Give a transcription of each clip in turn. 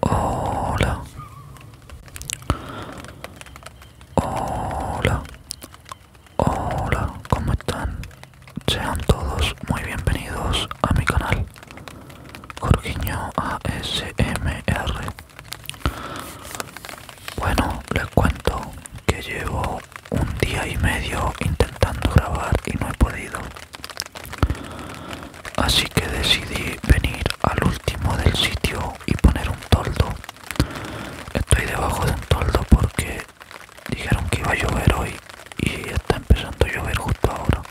Hola. Hola. Hola, ¿cómo están? Sean todos muy bienvenidos a mi canal. Jorginho ASMR. Bueno, les cuento que llevo un día y medio intentando grabar y no he podido. Así que decidí venir al último del sitio y poner un toldo. Estoy debajo de un toldo porque dijeron que iba a llover hoy y está empezando a llover justo ahora.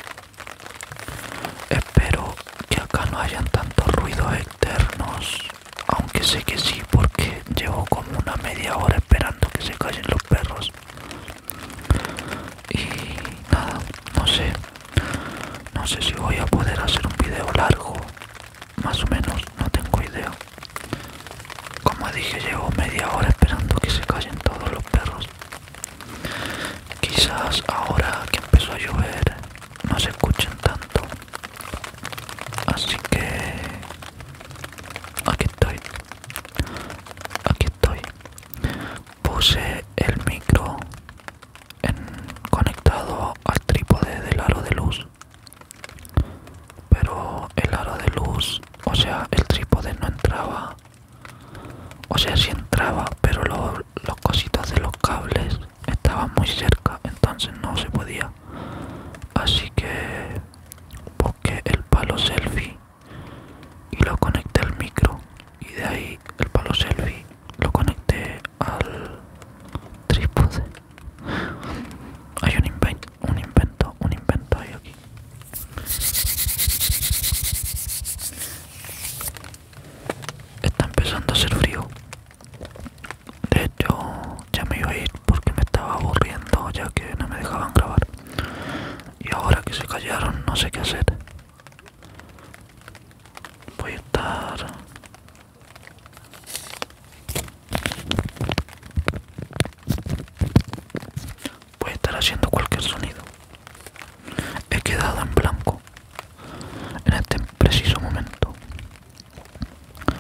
Espero que acá no hayan tantos ruidos externos, aunque sé que sí porque llevo como una media hora esperando que se callen los perros y nada no sé no sé si voy a poder hacer un video largo más o menos no tengo idea como dije llevo media hora esperando que se callen todos los perros quizás ahora que empezó a llover no se escuchen tanto así que aquí estoy aquí estoy Puse el micro conectado al trípode del aro de luz. Pero el aro de luz, o sea, el trípode no entraba. O sea, sí entraba, pero los cositos de los cables estaban muy cerca, entonces no se podía. Así que busqué el palo selfie y lo conecté al micro y de ahí el palo selfie lo conecté al trípode hay un invento un invento un invento ahí aquí está empezando a hacer frío de hecho ya me iba a ir porque me estaba aburriendo ya que no me dejaban grabar y ahora que se callaron no sé qué hacer voy a estar voy a estar haciendo cualquier sonido he quedado en blanco en este preciso momento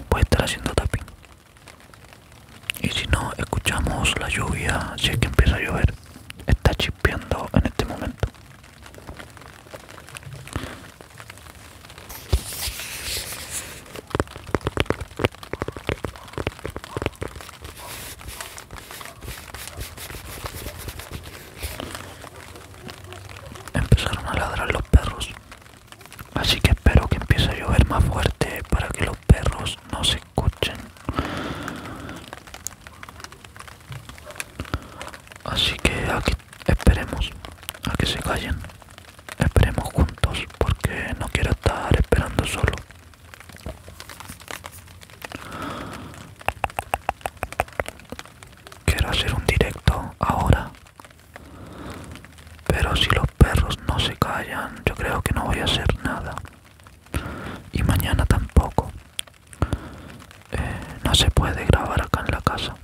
voy a estar haciendo tapping y si no escuchamos la lluvia si es que empieza a llover está chip en este momento. Empezaron a ladrar los perros, así que espero que empiece a llover más fuerte para que los perros no se escuchen así que aquí esperemos a que se callen esperemos juntos porque no quiero estar esperando solo quiero hacer un directo ahora pero si los perros no se callan yo creo que no voy a hacer nada y mañana tampoco eh, no se puede grabar acá en la casa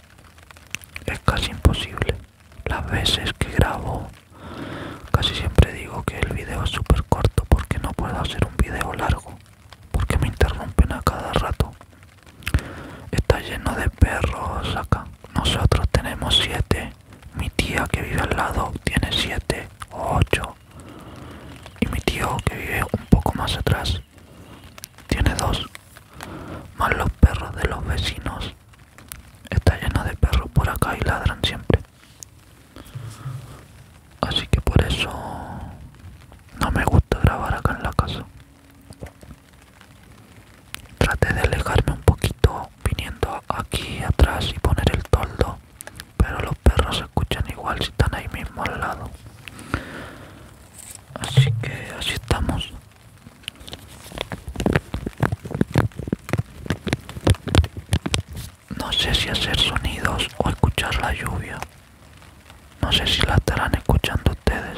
es casi imposible las veces que grabo casi siempre digo que el video es súper corto porque no puedo hacer un video largo porque me interrumpen a cada rato está lleno de perros acá nosotros tenemos siete mi tía que vive al lado tiene siete o ocho y mi tío, que vive un poco más atrás, tiene dos. Más los perros de los vecinos. Está lleno de perros por acá y ladran siempre. Así que por eso no me gusta grabar acá en la casa. Traté de alejarme un poquito viniendo aquí atrás y poner el toldo pero los perros se escuchan igual si están ahí mismo al lado así que así estamos no sé si hacer sonidos o escuchar la lluvia no sé si la estarán escuchando ustedes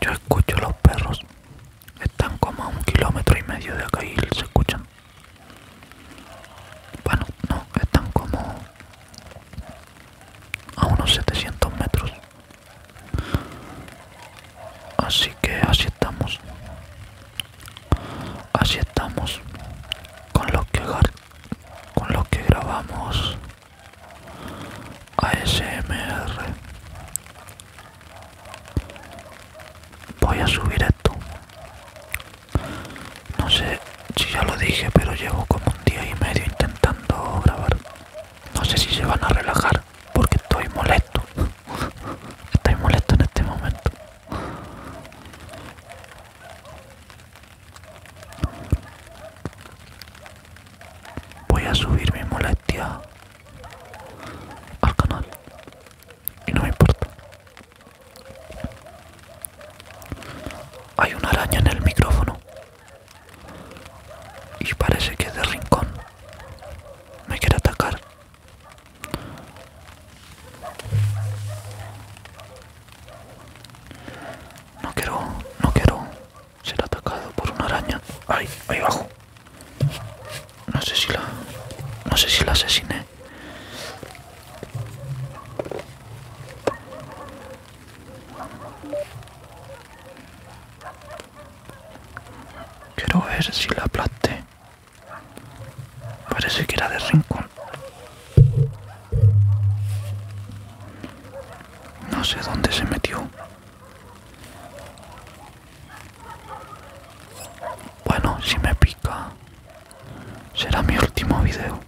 Yo escucho los perros. Están como a un kilómetro y medio de acá y se escuchan. Bueno, no, están como a unos 700 metros. Así que así estamos. Así estamos con lo que, con lo que grabamos ASMR Voy a subir esto No sé si ya lo dije pero llevo como un día y medio intentando grabar No sé si se van a relajar porque estoy molesto Estoy molesto en este momento Voy a subir mi molestia al canal y no me importa. Hay una araña en el micrófono y parece que es de rincón. Me quiere atacar. No quiero, no quiero ser atacado por una araña. Ahí, ahí abajo. No sé si la, no sé si la asesiné. Quiero ver si la aplasté. Parece que era de rincón. No sé dónde se metió. Bueno, si me pica, será mi último video.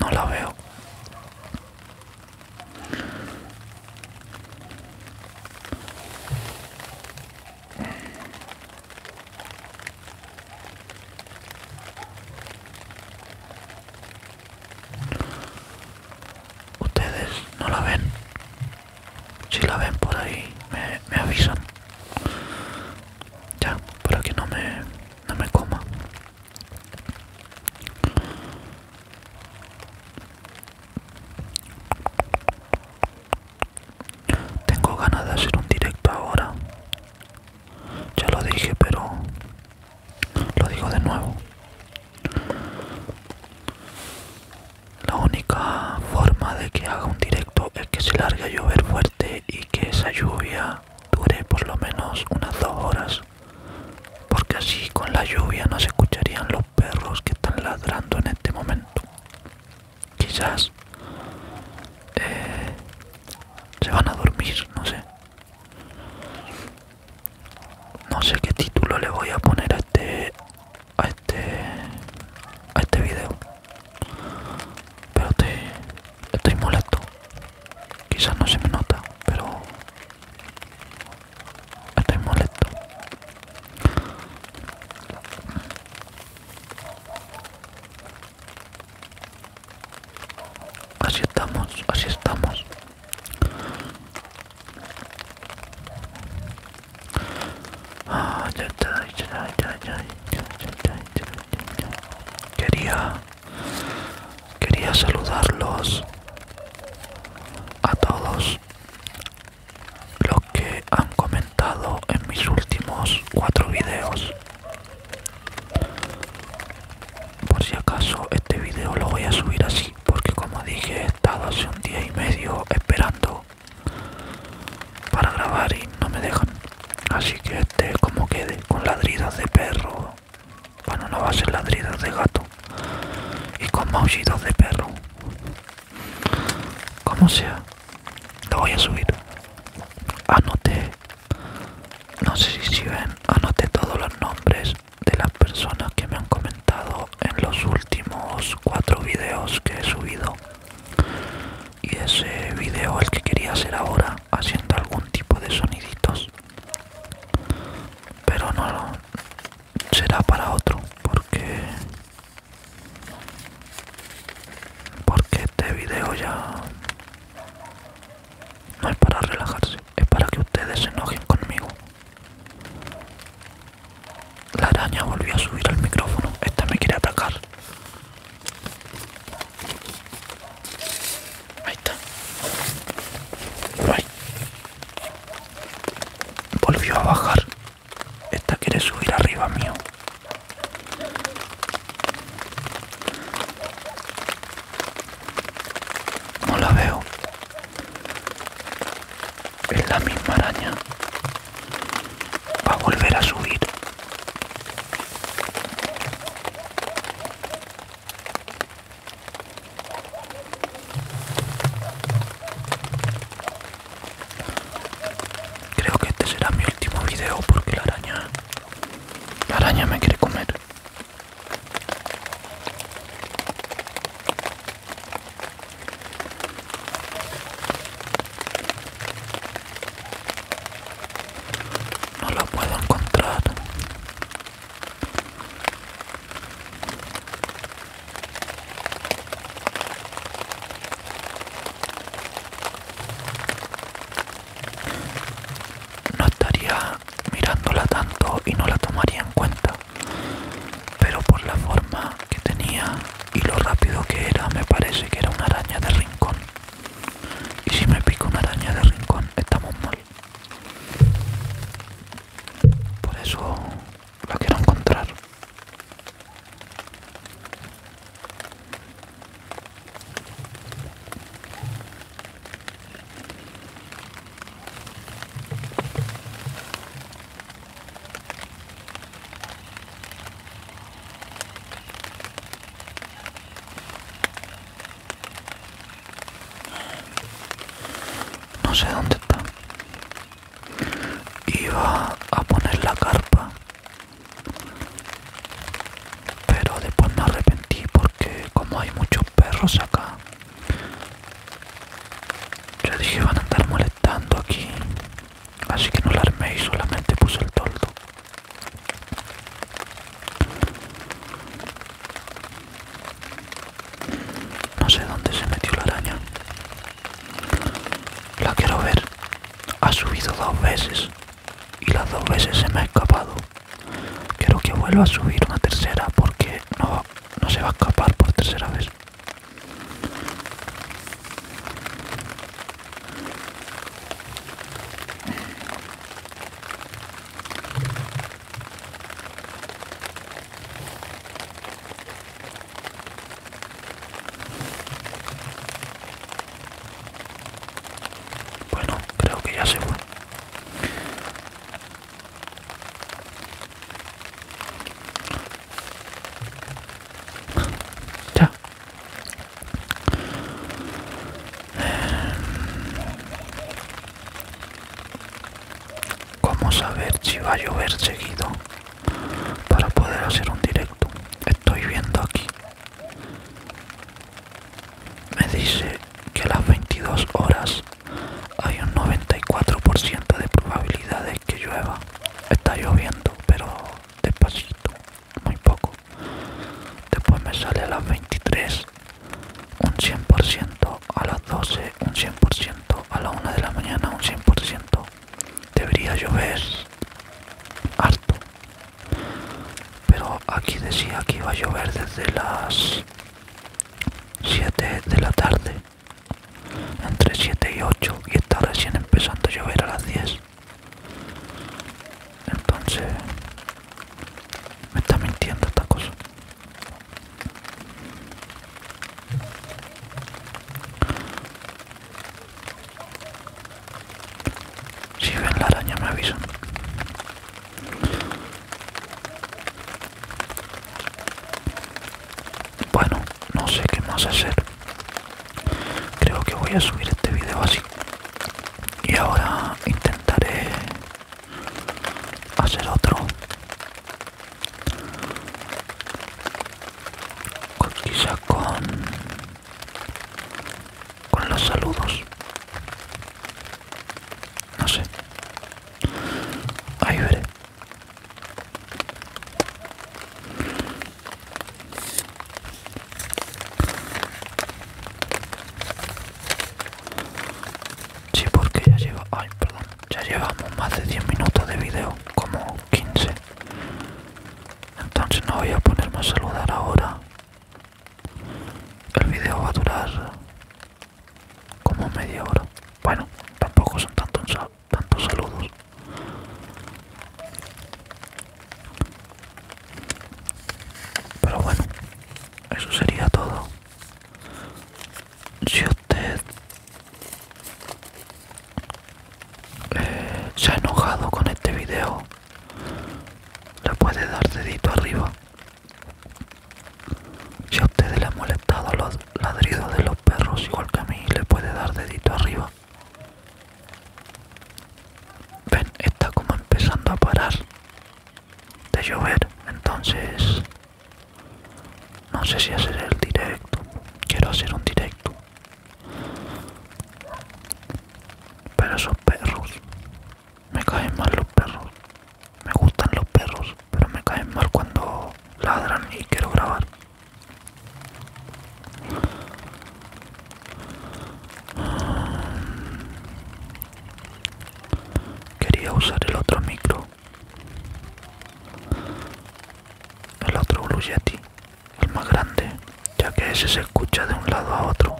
No la veo. Ustedes no la ven. Si la ven por ahí, me, avisan. Ya, para que no me, no me coma. Tengo ganas de hacer un directo ahora. Ya lo dije, pero lo digo de nuevo. La única forma de que haga un directo es que se largue a llover fuerte y que esa lluvia dure por lo menos unas dos horas. Porque así con la lluvia no se escucharían los perros que están ladrando en este momento quizás eh, se van a dormir, no sé. No sé qué título le voy a poner a este a este a este video. Pero estoy, estoy molesto. Quizás no se me nota, pero estoy molesto. Así estamos, así estamos. Quería, quería saludarlos a todos los que han comentado en mis últimos cuatro vídeos por si acaso este vídeo lo voy a subir así porque como dije he estado hace un día y medio esperando para grabar y no me dejan así que este como quede con ladridos de perro bueno no va a ser ladridas de gato y con maullidos de perro como sea, lo voy a subir. Anoté, no sé si ven, anoté todos los nombres de las personas que me han comentado en los últimos cuatro videos que he subido. Y ese video el que quería hacer ahora, haciendo algún tipo de soniditos. Pero no será para otro, porque porque este video ya no es para relajarse, es para que ustedes se enojen conmigo. La araña volvió a subir al micrófono, esta me quiere atacar. Ahí está. Volvió a bajar esta quiere subir arriba mío. No la veo. Es la misma araña. Va a volver a subir. Creo que este será mi último video porque la araña, la araña me quiere comer. No lo puedo encontrar. No estaría mirándola tanto y no la tomaría en cuenta, pero por la forma que tenía y lo rápido que era me parece que era una araña de rincón. Y si me pico una araña de rincón estamos mal. Por eso lo quiero encontrar. No sé dónde está iba a poner la carpa pero después me arrepentí porque como hay muchos perros acá yo dije van a andar molestando aquí así que no la armé y solamente puse el toldo no sé dónde se metió la araña la quiero ver. Ha subido dos veces y las dos veces se me ha escapado. Quiero que vuelva a subir una tercera porque no, no se va a escapar por tercera vez. Bueno, creo que ya se fue. Ya. ¿Cómo saber si va a llover seguido? para poder hacer un directo estoy viendo aquí me dice que a las 22 horas hay un 94% de probabilidades que llueva está lloviendo pero despacito muy poco después me sale a las 23 un 100% a las 12 un 100% a las 1 de la mañana un 100% debería llover harto pero aquí decía que iba a llover desde las 7 de la tarde entre 7 y 8 y está recién empezando a llover a las 10 entonces me está mintiendo esta cosa si ven la araña me avisan. Bueno, no sé qué más hacer. Creo que voy a subir este video así. Y ahora intentaré hacer otro quizá con con los saludos no sé ahí veré Sí, porque ya lleva, ay, perdón, ya llevamos más de 10 minutos de video, como 15 entonces no voy a ponerme a saludar ahora. El video va a durar como media hora. Bueno, tampoco son tantos, tantos saludos. Pero bueno, eso sería todo. Si usted eh, se ha enojado con este video le puede dar dedito arriba si a ustedes le han molestado los ladridos de los perros igual que a mí le puede dar dedito arriba ven está como empezando a parar de llover entonces no sé si hacer el directo quiero hacer un directo pero esos perros, me caen mal los perros. Me gustan los perros, pero me caen mal cuando ladran y quiero grabar. Quería usar el otro micro, el otro Blue el más grande, ya que ese se escucha de un lado a otro.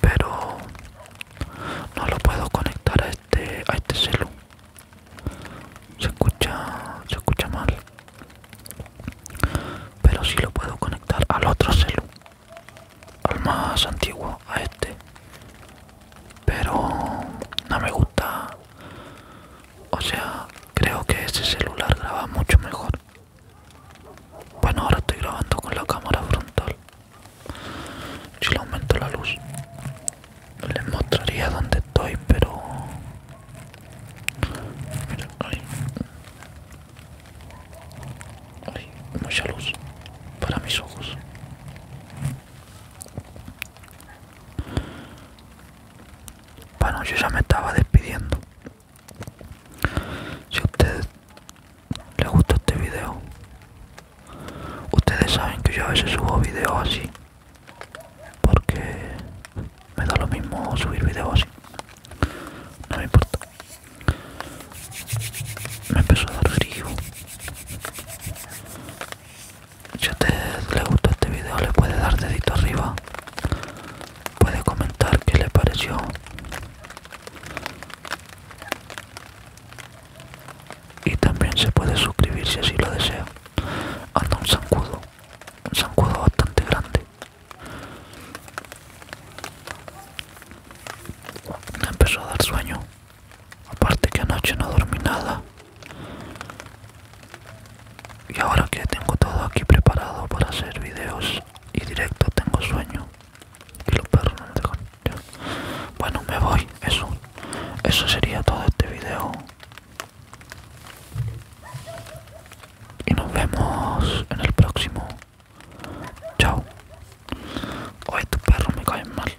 Pero no lo puedo conectar a este a este celu. Se escucha, se escucha mal. Pero si lo puedo conectar al otro celu, al más antiguo, a este. Pero no me gusta o sea, creo que ese celular graba mucho mejor. Bueno, ahora estoy grabando con la cámara frontal. Si le aumento la luz, les mostraría dónde estoy, pero... Mira, ahí mucha luz para mis ojos. Bueno, yo ya me estaba despidiendo. Si a ustedes les gusta este video, ustedes saben que yo a veces subo videos así. Porque me da lo mismo subir videos así. No me importa. Me empezó a dar frío. Si a usted le gustó este video le puede dar dedito arriba. Puede comentar qué le pareció. Y también se puede suscribir si así lo desea. Anda un zancudo. Un zancudo bastante grande. Me empezó a dar sueño. Aparte que anoche no dormí nada. Y ahora que tengo todo aquí preparado para hacer videos y directo, tengo sueño. Y los perros no me dejan. Bueno, me voy. Eso. Eso sería todo este video. Y nos vemos en el próximo. Chao. Hoy tu perro me caen mal.